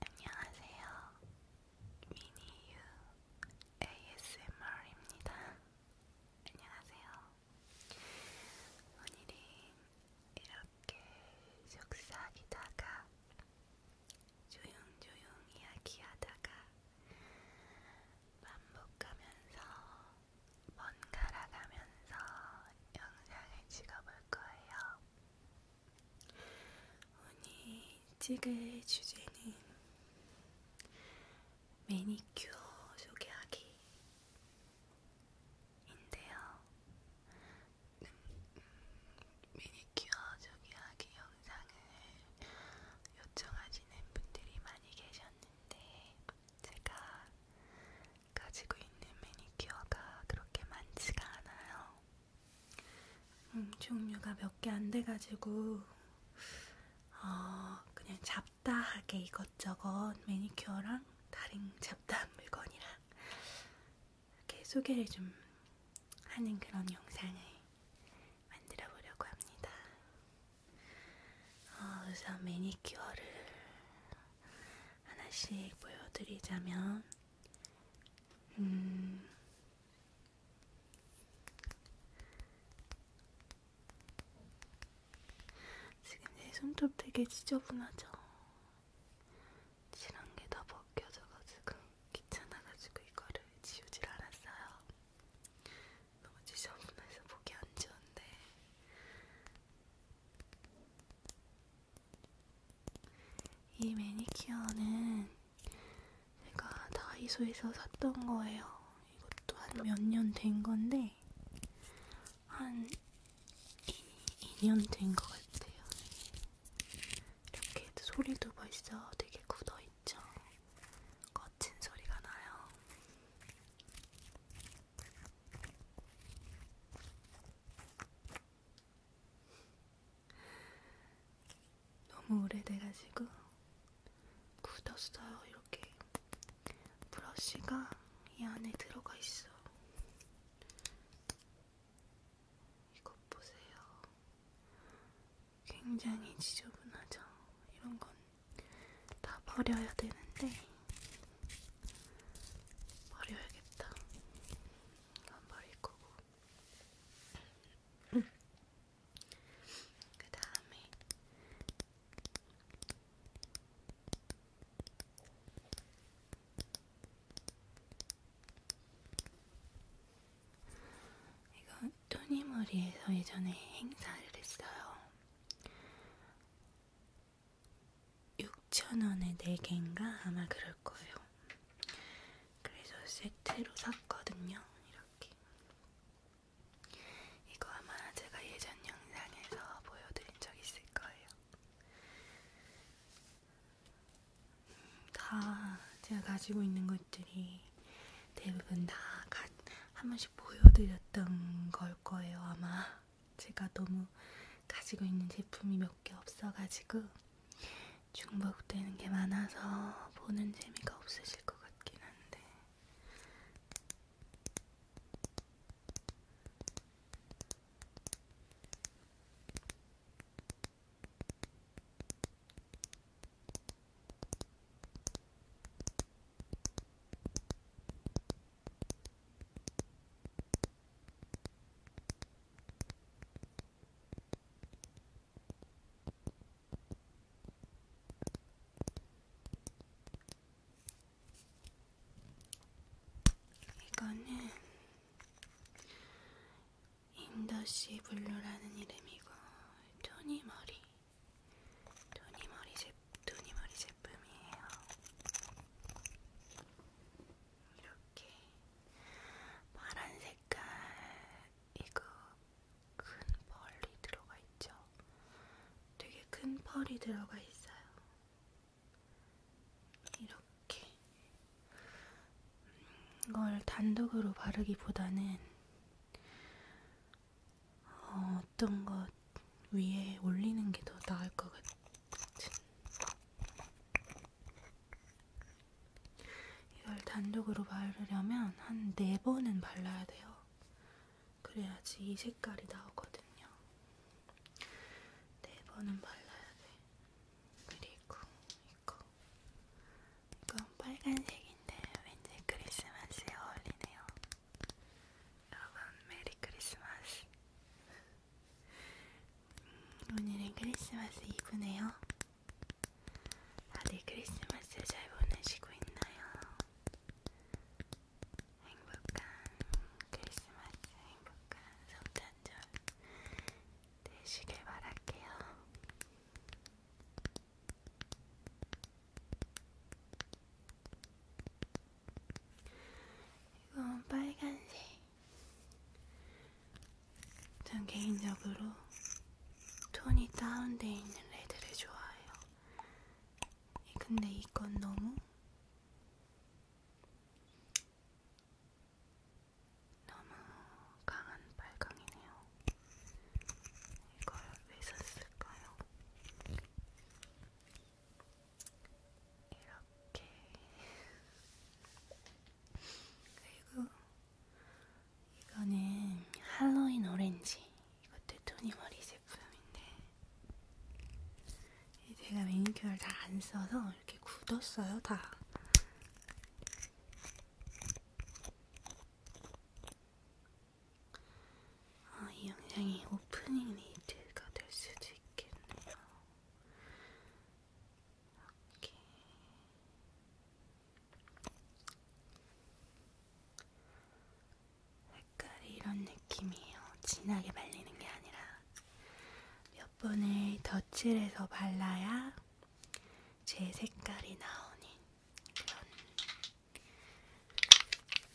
안녕하세요. 미니유 ASMR입니다. 안녕하세요. 오늘은 이렇게 속삭이다가 조용조용 이야기하다가 반복하면서 번갈아가면서 영상을 찍어볼 거예요. 오늘 찍을 주제는 매니큐어 소개하기 인데요. 음, 음, 매니큐어 소개하기 영상을 요청하시는 분들이 많이 계셨는데 제가 가지고 있는 매니큐어가 그렇게 많지가 않아요. 음, 종류가 몇 개 안 돼가지고 어, 그냥 잡다하게 이것저것 매니큐어랑 다른 잡다한 물건이랑 이렇게 소개를 좀 하는 그런 영상을 만들어 보려고 합니다. 어, 우선 매니큐어를 하나씩 보여드리자면 음, 지금 내 손톱 되게 지저분하죠? 칠한 게 다 벗겨져가지고 귀찮아가지고 이거를 지우질 않았어요. 너무 지저분해서 보기 안 좋은데 이 매니큐어는 제가 다이소에서 샀던 거예요. 이것도 한 몇 년 된 건데 한 2년 된 것 같아요. 이렇게 소리도 벌써 되게 굳어있죠. 거친 소리가 나요. 너무 오래돼가지고 굳었어요. 이렇게 브러쉬가 이 안에 들어가 있어. 이것 보세요. 굉장히 지저분하죠. 이런 건 다 버려야 되는데 버려야겠다. 이건 버릴 거고 그 다음에 이건 토니머리에서 예전에 행사를 했어요. 6,000원에 4개인가? 아마 그럴 그럴 거예요. 그래서 세트로 샀거든요. 이렇게. 이거 아마 제가 예전 영상에서 보여드린 적 있을 거예요. 음, 다 제가 가지고 있는 것들이 대부분 다 한 번씩 보여드렸던 걸 거예요. 아마 제가 너무 가지고 있는 제품이 몇 개 없어가지고 중복되는 게 많아서 보는 재미가 없으실 것 같긴 한데 이거는 임더시 블루라는 이름이고 토니 머리 토니 머리 제 토니 머리 제품이에요. 이렇게 파란 색깔 이거 큰 펄이 들어가 있죠. 되게 큰 펄이 들어가 있어요. 이렇게 음, 이걸 단독으로 바르기보다는 어, 어떤 것 위에 올리는 게 더 나을 것 같은 이걸 단독으로 바르려면 한 네 번은 발라야 돼요. 그래야지 이 색깔이 나오거든요. 네 번은 발라야 돼. 그리고 이거. 이건 빨간색인데 왠지 크리스마스에 어울리네요. 여러분 메리 크리스마스. 음, 오늘은 크리스마스 이브네요. 다들 크리스마스 잘 보내시고 있나요? 행복한 크리스마스, 행복한 성탄절 되시길 바랄게요. 이건 빨간색. 전 개인적으로 톤이 다운돼 있는 레드를 좋아해요. 근데 이건 너무 너무 강한 빨강이네요. 이걸 왜 샀을까요? 이렇게 그리고 이거는 할로윈 오렌지. 이것도 토니 머리 제품인데 제가 매니큐어를 다안 써서 이렇게 굳었어요, 다. 아, 이 영상이 오프닝 레이트가 될 수도 있겠네요. 이렇게 색깔이 이런 느낌이에요. 진하게 발리는 게 아니라 몇 번을 덧칠해서 발라야 제 색깔이 나오는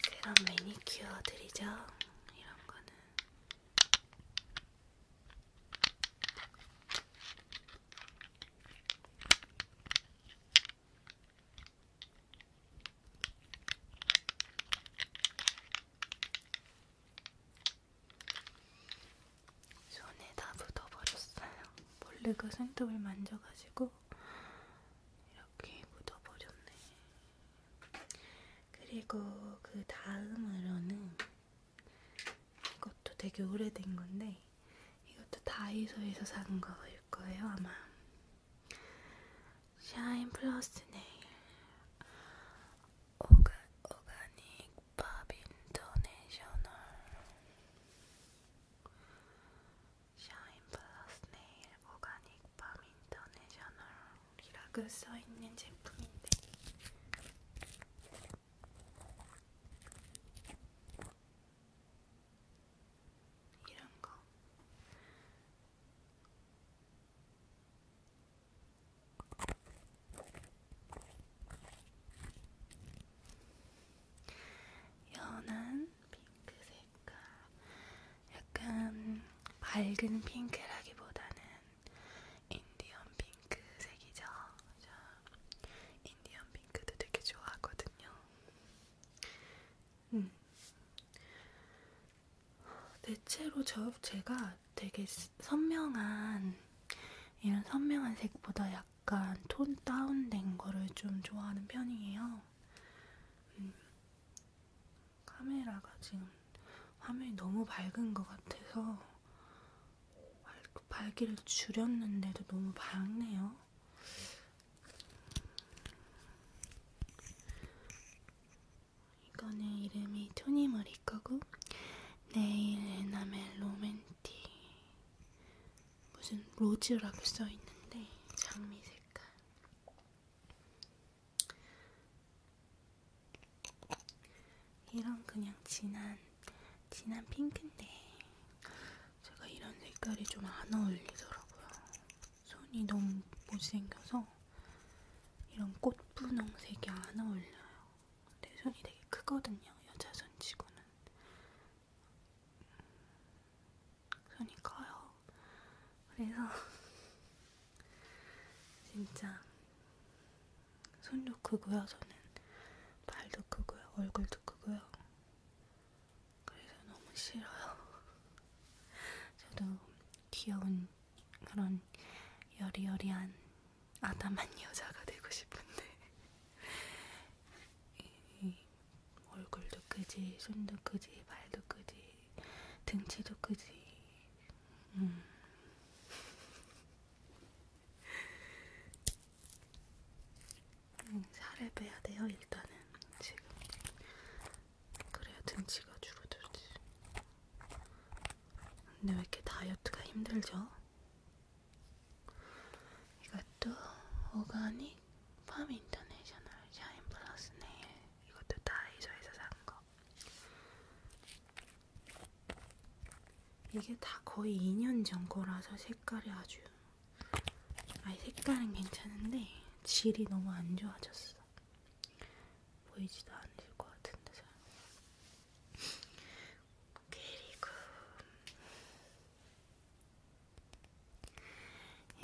그런 그런 매니큐어들이죠. 이런 거는 손에 다 묻어버렸어요. 원래 그 손톱을 만져가지고 이렇게 묻어버렸네. 그리고 그 다음으로는 이것도 되게 오래된 건데 이것도 다이소에서 산 거일 거예요 아마. 샤인 플러스 네일 오가, 오가닉 밥 인터내셔널 샤인 플러스 네일 오가닉 밥 인터내셔널이라고 써있는 제품인데 이런 거. 연한 핑크 색깔. 약간 밝은 핑크라기보다는 인디언 핑크색이죠. 저 인디언 핑크도 되게 좋아하거든요. 음. 대체로 저 제가 되게 선명한 이런 선명한 색보다 약간 톤 다운된 거를 좀 좋아하는 편이에요. 음. 카메라가 지금 화면이 너무 밝은 것 같아서 밝기를 그 줄였는데도 너무 밝네요. 이거는 이름이 토니머리 거고 네일 에나멜 로맨티 무슨 로즈라고 써있는데 장미 색깔 이런 그냥 진한 진한 핑크인데 제가 이런 색깔이 좀 안 어울리더라고요. 손이 너무 못생겨서 이런 꽃분홍색이 안 어울려요. 내 손이 되게 크거든요. 여자 손치고는 손이 커요. 그래서 진짜 손도 크고요, 저는 발도 크고요, 얼굴도 크고요. 그래서 너무 싫어요. 저도 귀여운 그런 여리여리한 아담한 여자가 되고 싶은데 이 얼굴도 크지, 손도 크지, 발도 크지, 등치도 크지. 음. 음, 살을 빼야 돼요, 일단은. 지금. 그래야 등치가 줄어들지. 근데 왜 이렇게 다이어트가 힘들죠? 이것도 오가닉 팜 인터내셔널 샤인 플러스 네일. 이것도 다이소에서 산 거. 이게 다 거의 2년 전 거라서 색깔이 아주 아니 색깔은 괜찮은데 질이 너무 안 좋아졌어. 보이지도 않을 것 같은데 잘. 그리고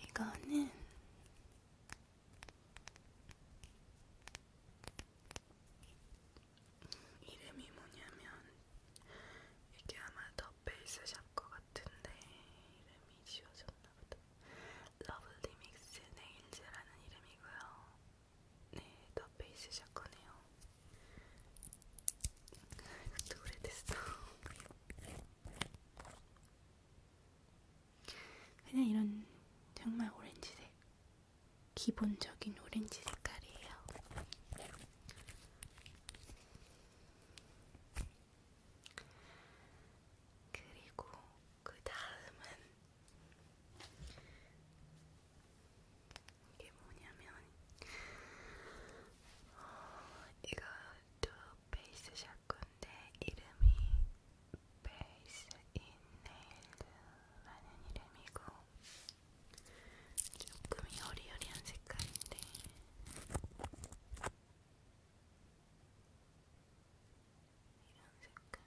이거는 이름이 뭐냐면 이게 아마 더 베이스 샵거 같은데 이름이 지워졌나 보다. 러블리 믹스 네일즈라는 이름이고요. 네, 더 베이스 샵 거네요. 이것도 오래됐어. 그냥 이런 정말 오렌지색 기본적인 오렌지 색깔이에요. 그리고 그 다음은 이게 뭐냐면 어, 이거 두 베이스 샷건데 이름이 베이스 인 네일드라는 이름이고 조금 여리여리한 색깔인데 이런 색깔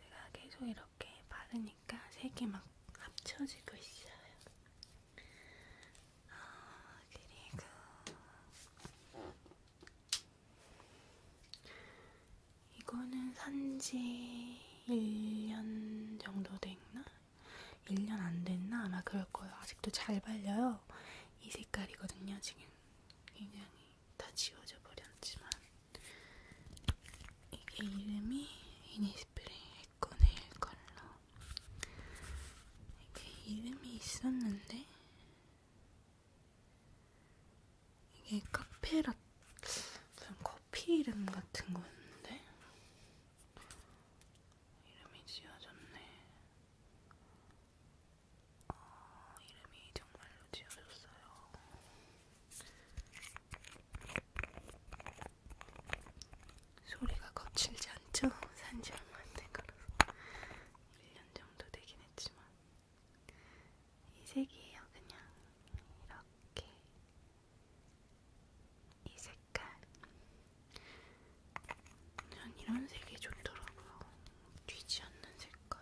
제가 계속 이렇게 바르니까 색이 막 합쳐지고 있어요. 아, 그리고 이거는 산지 1년 정도 됐나? 1년 안 됐나? 아마 그럴 거예요. 아직도 잘 발려요. 이 색깔이거든요, 지금. 굉장히 다 지워져 버렸지만. 이게 이름이 이니스프레이 에코네일 컬러. 이게 이름이 있었는데, 이게 카페라 무슨 커피 이름 같은 거였는데 이름이 지어졌네. 어, 이름이 정말로 지어졌어요. 소리가 거칠지 않죠? 산지 얼마 안된 거라서 1년 정도 되긴 했지만 이 색이에요, 그냥 이렇게 이 색깔. 전 이런 색이 좋더라고요. 뒤지 않는 색깔.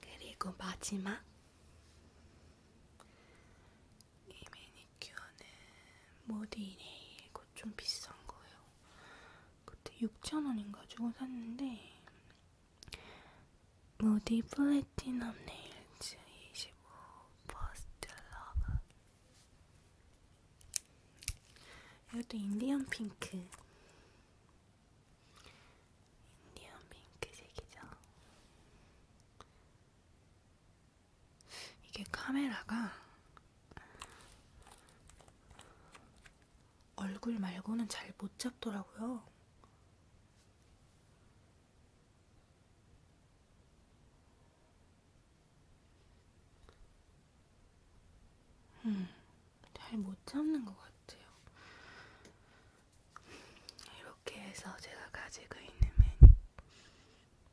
그리고 마지막 이 매니큐어는 모디 네일고 좀 비싼 거예요. 그때 6,000원인가 주고 샀는데 무디 플래티넘 네일즈 25 퍼스트 러브 이것도 인디언 핑크 인디언 핑크색이죠. 이게 카메라가 얼굴 말고는 잘 못 잡더라고요. 음, 잘 못 잡는 것 같아요. 이렇게 해서 제가 가지고 있는 매니,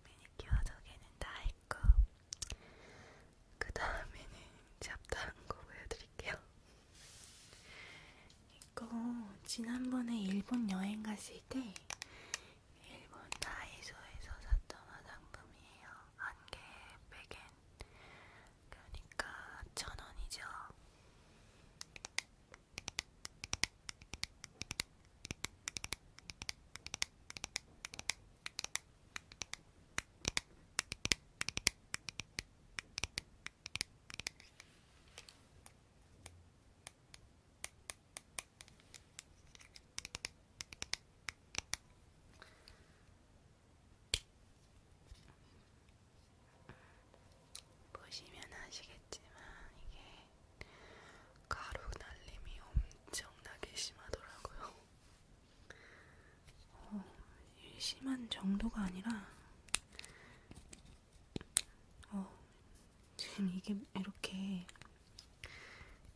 매니큐어 저기는 다 있고 그 다음에는 잡다한 거 보여드릴게요. 이거 지난번에 일본 여행 갔을 때 일본 다이소에서 샀던 화장품이에요. 한개 100엔. 그러니까 1000원이죠. 보시면 아시겠지만 이게 가루 날림이 엄청나게 심하더라고요. 어, 심한 정도가 아니라, 어, 지금 이게 이렇게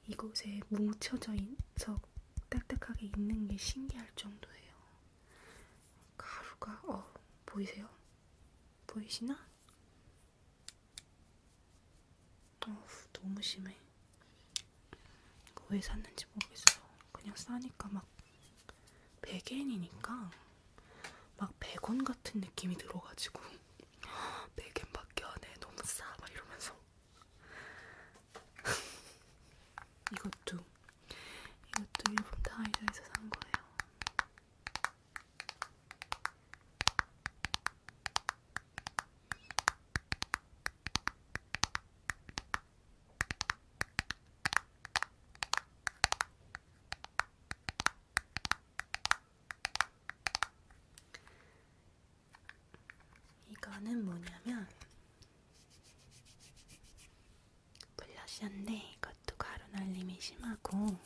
이곳에 뭉쳐져 있어 딱딱하게 있는 게 신기할 정도예요. 가루가, 어, 보이세요? 보이시나? 어, 너무 심해. 이거 왜 샀는지 모르겠어. 그냥 싸니까 막 100엔이니까 막 100원 같은 느낌이 들어가지고 100엔밖에 안 해. 너무 싸. 막 이러면서 이것도 이것도 일본 다이소에서 산 거예요. 이거는 뭐냐면 블러셔인데 이것도 가루 날림이 심하고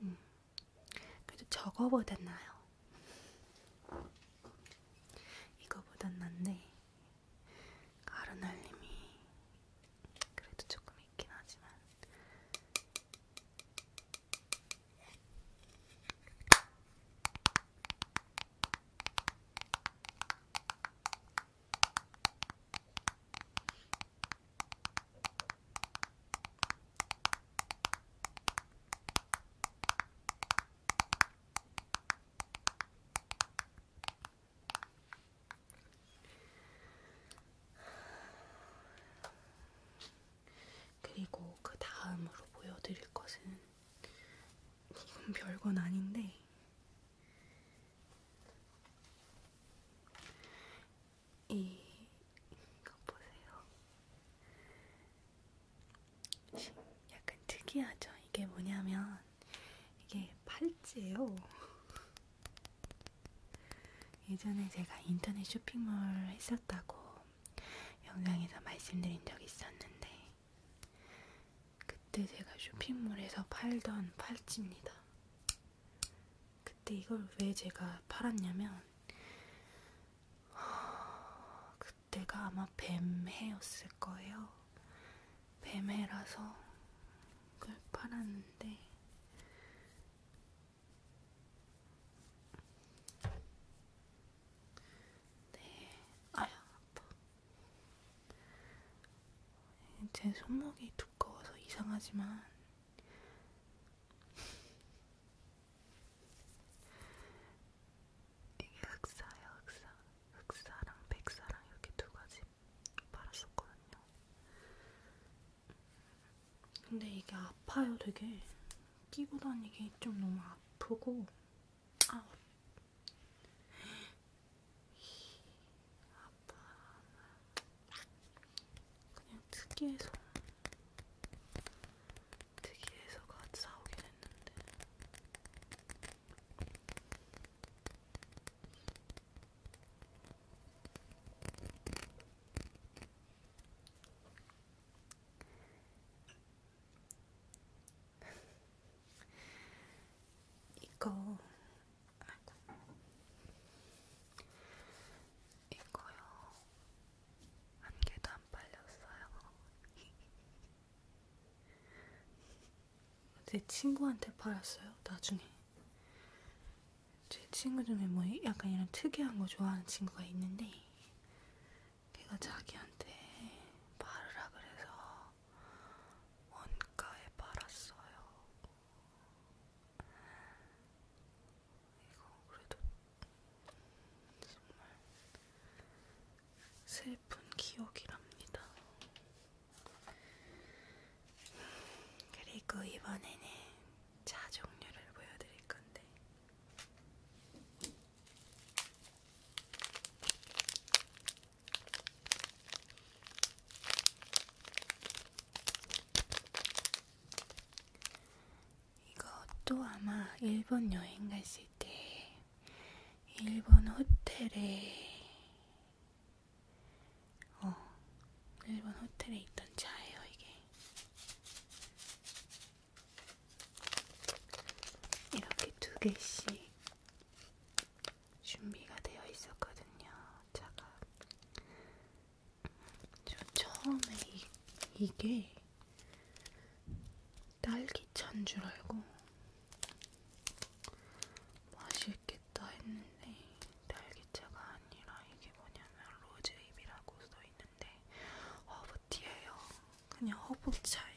음, 그래도 저거보단 나요. 이거보단 낫네. 가루날림이 그래도 조금 있긴 하지만 그리고 그 다음으로 보여드릴 것은 이건 별건 아닌데 이 이거 보세요. 약간 특이하죠? 이게 뭐냐면 이게 팔찌예요. 예전에 제가 인터넷 쇼핑몰 했었다고 영상에서 말씀드린 적이 있었는데 그때 제가 쇼핑몰에서 팔던 팔찌입니다. 그때 이걸 왜 제가 팔았냐면 그 그때가 아마 뱀해였을 거예요. 뱀해라서 그걸 팔았는데 네, 아야 아파. 제 손목이 두꺼워서 이상하지만 이게 흑사예요, 흑사. 흑사랑 백사랑 이렇게 두 가지 팔았었거든요. 근데 이게 아파요, 되게. 끼고 다니기 좀 너무 아프고. 아우. 아파. 그냥 특이해서. 특이해서가 사오긴 했는데. 이거 이거요 한 개도 안 팔렸어요. 제 친구한테 팔았어요. 나중에 제 친구 중에 뭐 약간 이런 특이한 거 좋아하는 친구가 있는데 걔가 자기한테 팔으라 그래서 원가에 팔았어요. 이거 그래도 정말 슬픈 기억이랍니다. 그리고 이번에는 차 종류를 보여드릴 건데, 이것도 아마 일본 여행 갔을 때 일본 호텔에 어 일본 호텔에 있던 차예요 이게 이렇게 두 개씩 준비가 되어 있었거든요 차가 저 처음에 이, 이게 딸기차인 줄 알고 맛있겠다 했는데 딸기차가 아니라 이게 뭐냐면 로즈잎이라고 써있는데 허브티예요. 그냥 허브차예요.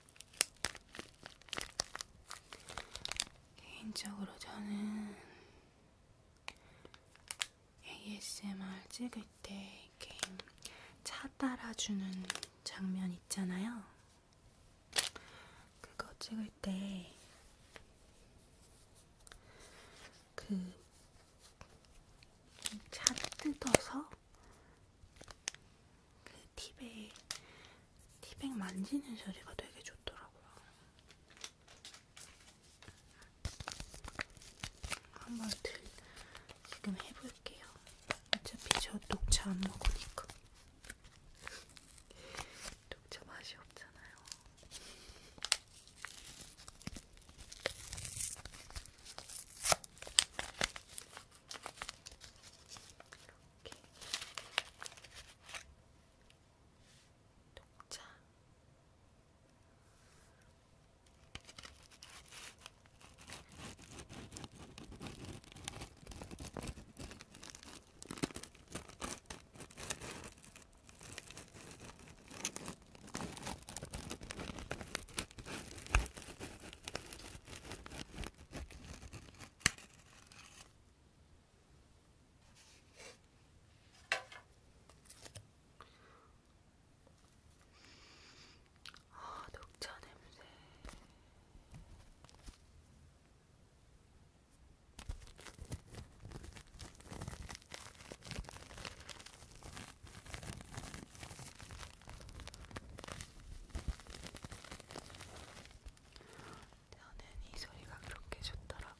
개인적으로 저는 ASMR 찍을 때 이렇게 차 따라주는 장면 있잖아요. 그거 찍을 때 그 차 뜯어서 그 티백, 티백 만지는 소리가 되게 좋더라고요. 한번 들, 지금 해볼게요. 어차피 저 녹차 안 먹으니까. 녹차 맛이 없잖아요. 이렇게 독자 아, 녹차 냄새. 저는 이 소리가 그렇게 좋더라고요.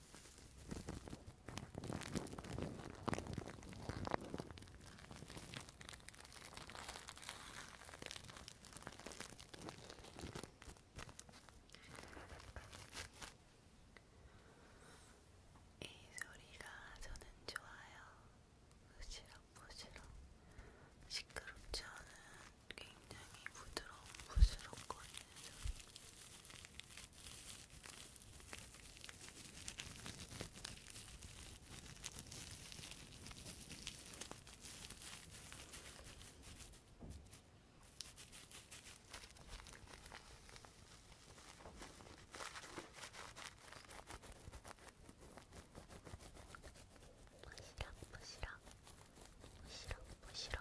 이 소리가 저는 좋아요. 부시럭 부시럭 시끄럽지 않은 굉장히 부드러운 부스럭거리는 소리. 부시락 부시락 부시락 부시락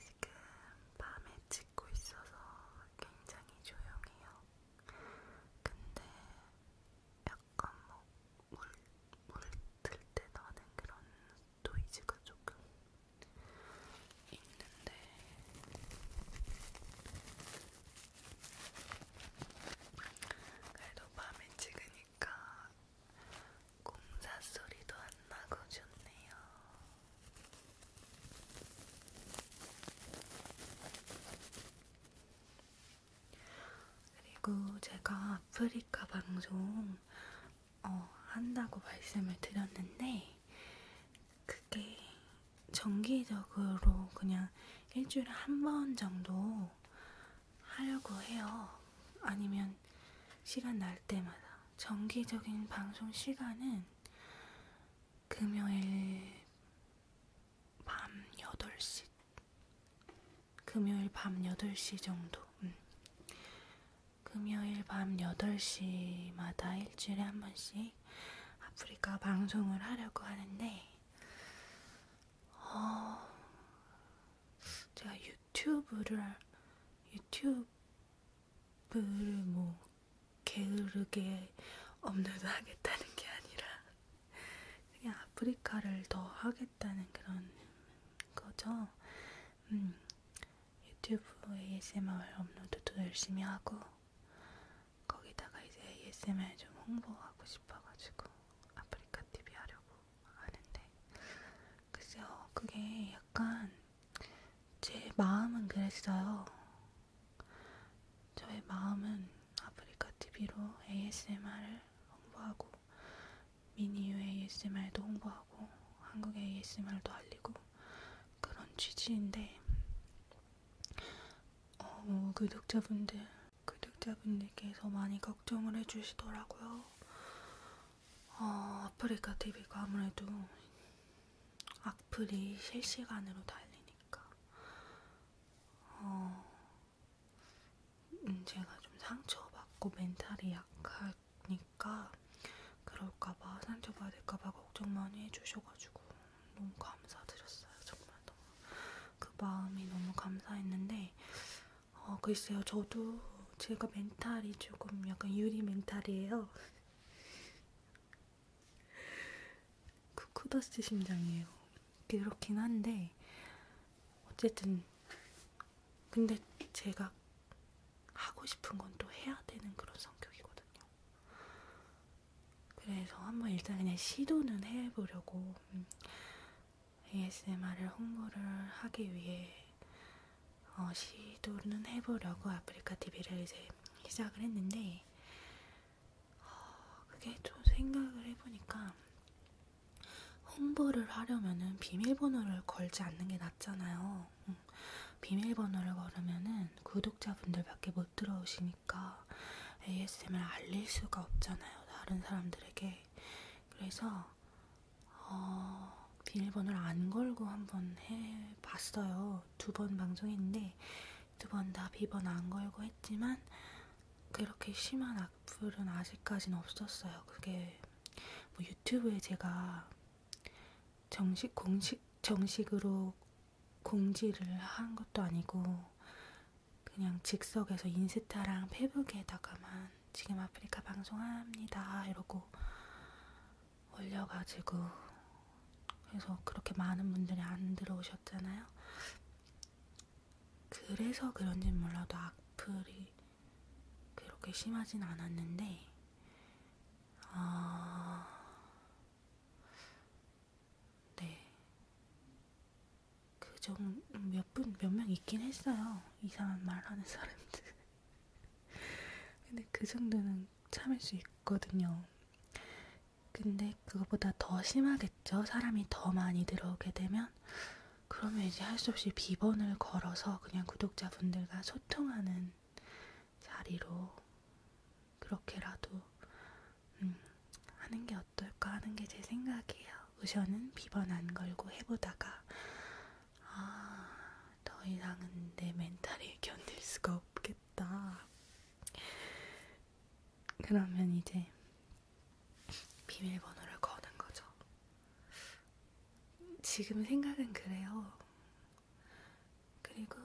지금 밤에 찍고 있어서 굉장히 조용해요. 근데 약간 뭐물물들때 나는 그런 노이즈가 조금 있는데 그래도 밤에 찍으니까 공사 소리도 안 나고 좋네요. 그리고 제가 아프리카 방송 어, 한다고 말씀을 드렸는데 그게 정기적으로 그냥 일주일에 한 번 정도 하려고 해요. 아니면 시간 날 때마다 정기적인 방송 시간은 금요일 밤 8시 금요일 밤 8시 정도 음. 금요일 밤 8시마다 일주일에 한 번씩 아프리카 방송을 하려고 하는데 어, 제가 유튜브를 유튜브 물을 뭐 게으르게 업로드 하겠다는 게 아니라 그냥 아프리카를 더 하겠다는 그런 거죠. 음, 유튜브 ASMR 업로드도 열심히 하고 거기다가 이제 ASMR 좀 홍보하고 싶어가지고 아프리카 TV 하려고 하는데 글쎄요 그게 약간 제 마음은 그랬어요. 저의 마음은 아프리카 TV로 ASMR을 홍보하고 미니유 ASMR도 홍보하고 한국 ASMR도 알리고 그런 취지인데 어, 뭐 구독자분들 구독자분들께서 많이 걱정을 해주시더라고요. 어, 아프리카 TV가 아무래도 악플이 실시간으로 달리니까 어, 제가 좀 상처받고 멘탈이 약하니까 그럴까봐 상처받을까봐 걱정 많이 해주셔가지고 너무 감사드렸어요. 정말 너무 그 마음이 너무 감사했는데 어, 글쎄요. 저도 제가 멘탈이 조금 약간 유리 멘탈이에요. 쿠쿠더스 그 심장이에요. 그렇긴 한데 어쨌든 근데 제가 하고 싶은 건 또 해야 되는 그런 성격이거든요. 그래서 한번 일단 그냥 시도는 해보려고 음, ASMR을 홍보를 하기 위해 어, 시도는 해보려고 아프리카 TV를 이제 시작을 했는데 어, 그게 또 생각을 해보니까 홍보를 하려면은 비밀번호를 걸지 않는 게 낫잖아요. 응. 음, 비밀번호를 걸으면은 구독자분들밖에 못 들어오시니까 ASM을 알릴 수가 없잖아요. 다른 사람들에게. 그래서 어, 비밀번호를 안 걸고 한번 해봤어요. 해서 두번 방송했는데 두 번 다 비번 안 걸고 했지만 그렇게 심한 악플은 아직까지는 없었어요. 그게 뭐 유튜브에 제가 정식 공식 정식으로 공지를 한 것도 아니고 그냥 즉석에서 인스타랑 페북에다가만 지금 아프리카 방송합니다 이러고 올려가지고 그래서 그렇게 많은 분들이 안 들어오셨잖아요. 그래서 그런지 몰라도 악플이 그렇게 심하진 않았는데 아... 네. 그 정도 몇 분 몇 명 있긴 했어요. 이상한 말 하는 사람들. 근데 그 정도는 참을 수 있거든요. 근데 그거보다 더 심하겠죠? 사람이 더 많이 들어오게 되면? 그러면 이제 할 수 없이 비번을 걸어서 그냥 구독자분들과 소통하는 자리로 그렇게라도 음, 하는 게 어떨까 하는 게 제 생각이에요. 우선은 비번 안 걸고 해보다가 아더 이상은 내 멘탈이 견딜 수가 없겠다. 그러면 이제 비밀번호를 거는 거죠. 지금 생각은 그래요. 그리고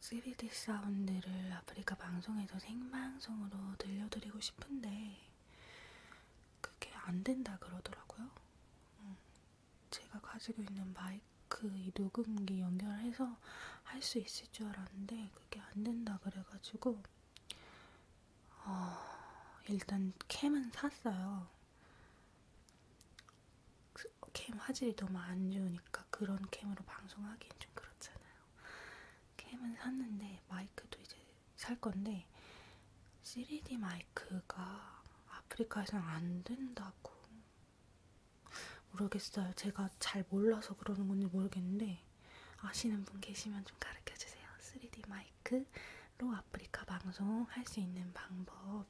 3D 사운드를 아프리카 방송에서 생방송으로 들려드리고 싶은데 그게 안 된다 그러더라고요. 응. 음. 제가 가지고 있는 마이크 이 녹음기 연결해서 할 수 있을 줄 알았는데 그게 안 된다 그래가지고 어, 일단 캠은 샀어요. 캠 화질이 너무 안 좋으니까 그런 캠으로 방송하기엔 좀 그렇잖아요. 캠은 샀는데 마이크도 이제 살 건데 3D 마이크가 아프리카에서는 안 된다고 모르겠어요. 제가 잘 몰라서 그러는 건지 모르겠는데 아시는 분 계시면 좀 가르쳐 주세요. 3D 마이크로 아프리카 방송 할 수 있는 방법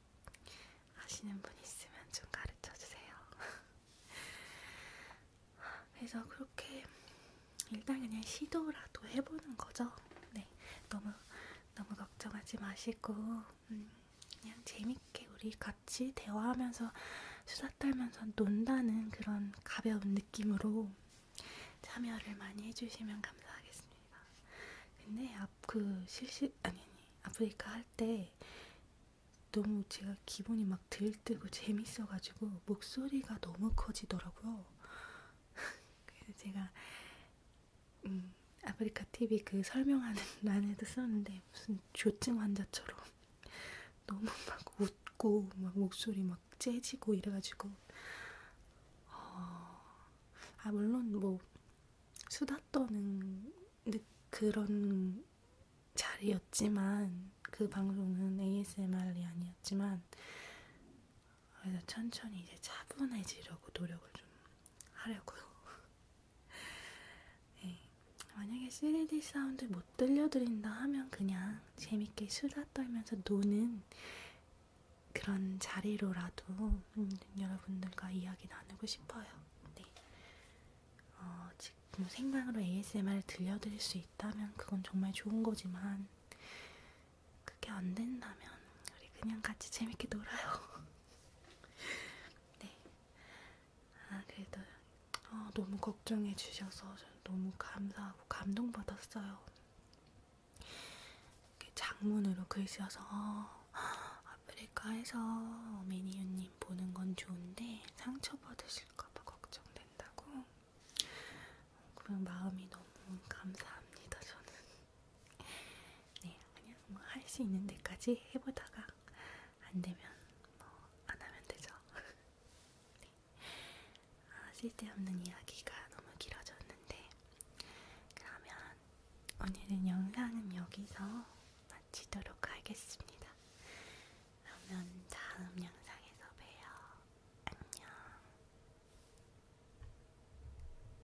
아시는 분 있으면 좀 가르쳐 주세요. 그래서 그렇게 일단 그냥 시도라도 해보는 거죠. 네, 너무 너무 걱정하지 마시고 음, 그냥 재밌게 우리 같이 대화하면서 수다 떨면서 논다는 그런 가벼운 느낌으로 참여를 많이 해주시면 감사하겠습니다. 근데 앞그 실시 아니 아니 아프리카 할 때 너무 제가 기분이 막 들뜨고 재밌어가지고 목소리가 너무 커지더라고요. 그래서 제가 음, 아프리카 TV 그 설명하는 란에도 썼는데 무슨 조증 환자처럼 너무 막 웃고 막 목소리 막 재지고 이래가지고 어, 아 물론 뭐 수다 떠는 그런 자리였지만 그 방송은 ASMR이 아니었지만 그래서 천천히 이제 차분해지려고 노력을 좀 하려고요. 네. 만약에 3D 사운드 못 들려드린다 하면 그냥 재밌게 수다 떨면서 노는 그런 자리로라도 음, 여러분들과 이야기 나누고 싶어요. 네. 어, 지금 생방으로 ASMR을 들려드릴 수 있다면 그건 정말 좋은 거지만 그게 안 된다면 우리 그냥 같이 재밌게 놀아요. 네. 아 그래도 어, 너무 걱정해 주셔서 너무 감사하고 감동받았어요. 이렇게 장문으로 글 써서 어, 아프리카에서 매니유님 보는 건 좋은데 상처 받으실까봐 걱정된다고. 어, 그런 마음이 너무 감사합니다. 저는 네, 그냥 뭐할 수 있는 데까지 해보다가 안 되면 뭐 안 하면 되죠. 네. 아, 쓸데없는 이야기가 너무 길어졌는데 그러면 오늘은 영상은 여기서 마치도록 하겠습니다. 그러면 다음 영상에서 봬요. 안녕.